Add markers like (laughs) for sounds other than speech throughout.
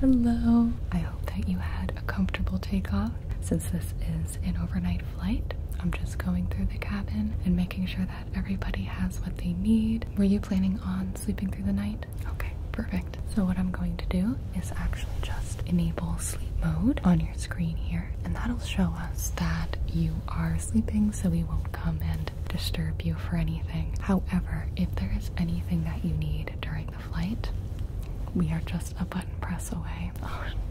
Hello. I hope that you had a comfortable takeoff. Since this is an overnight flight, I'm just going through the cabin and making sure that everybody has what they need. Were you planning on sleeping through the night? Okay, perfect. So what I'm going to do is actually just enable sleep mode on your screen here, and that'll show us that you are sleeping so we won't come and disturb you for anything. However, if there is anything that you need during the flight, we are just a button press away.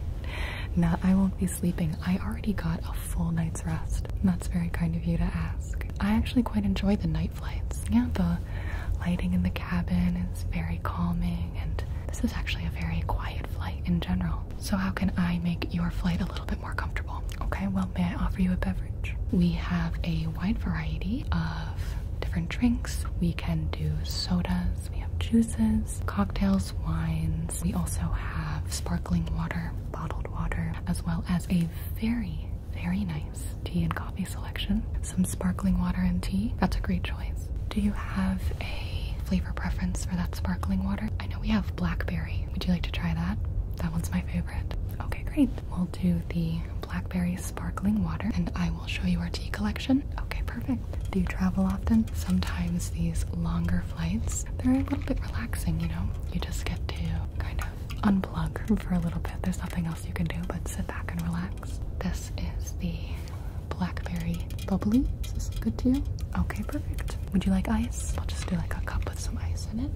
(laughs) now I won't be sleeping. I already got a full night's rest. That's very kind of you to ask. I actually quite enjoy the night flights. Yeah, the lighting in the cabin is very calming, and this is actually a very quiet flight in general. So, how can I make your flight a little bit more comfortable? Okay, well, may I offer you a beverage? We have a wide variety of different drinks. We can do sodas, we have juices, cocktails, wines. We also have sparkling water, bottled water, as well as a very very nice tea and coffee selection. Some sparkling water and tea. That's a great choice. Do you have a flavor preference for that sparkling water? I know we have blackberry. Would you like to try that? That one's my favorite. Okay, great. We'll do the blackberry sparkling water and I will show you our tea collection. Okay, perfect. Do you travel often? Sometimes these longer flights, they're a little bit relaxing, you know? You just get to kind of unplug for a little bit. There's nothing else you can do but sit back and relax. This is the blackberry bubbly. Is this good to you? Okay, perfect. Would you like ice? I'll just do like a cup with some ice in it.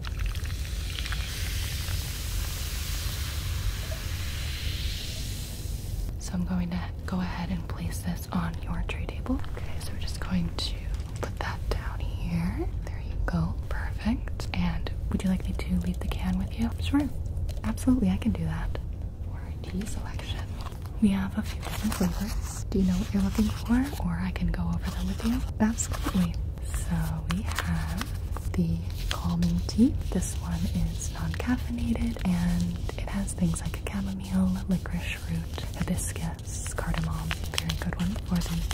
So I'm going to go ahead and place this on your tray table. Okay, so we're just going to put that down here. There you go. Perfect. And would you like me to leave the can with you? Sure. Absolutely, I can do that. Warranty selection. We have a few different flavors. Do you know what you're looking for, or I can go over them with you? Absolutely. So we have the calming tea. This one is non-caffeinated, and it has things like a chamomile, licorice root, hibiscus, cardamom. Very good one. For the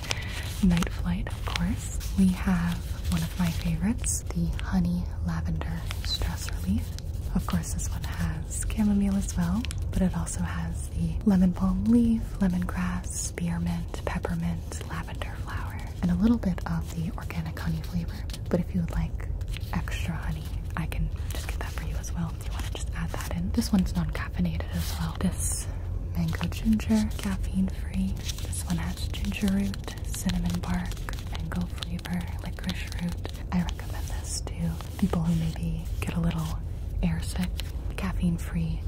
Night Flight, of course. We have one of my favorites, the Honey Lavender Stress Relief. Of course, this one has chamomile as well, but it also has the lemon balm leaf, lemongrass, spearmint, peppermint, lavender flower, and a little bit of the organic honey flavor. But if you would like extra honey, I can just get that for you as well. Oh, you want to just add that in. This one's non-caffeinated as well. This mango ginger, caffeine free. This one has ginger root, cinnamon bark, mango flavor, licorice root. I recommend this to people who maybe get a little airsick. Caffeine free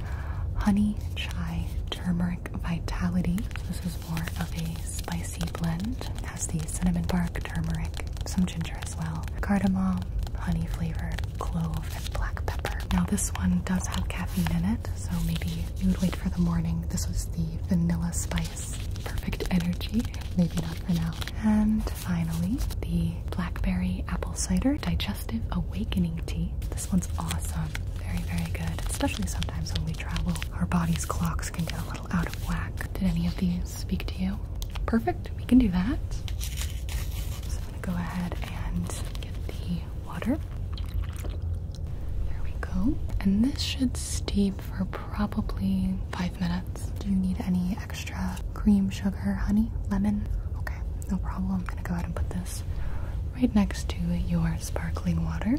honey, chai, turmeric vitality. this is more of a spicy blend. has the cinnamon bark, turmeric, some ginger well cardamom, honey flavor, clove, and black pepper. Now, this one does have caffeine in it, so maybe you would wait for the morning. This was the vanilla spice. Perfect energy, maybe not for now. And finally, the blackberry apple cider digestive awakening tea. This one's awesome. Very, very good, especially sometimes when we travel. Our body's clocks can get a out of whack. Did any of these speak to you? Perfect, we can do that. So I'm gonna go ahead and get the water. There we go. And this should steep for probably five minutes. Do you need any extra cream, sugar, honey, lemon? Okay, no problem. I'm gonna go ahead and put this right next to your sparkling water.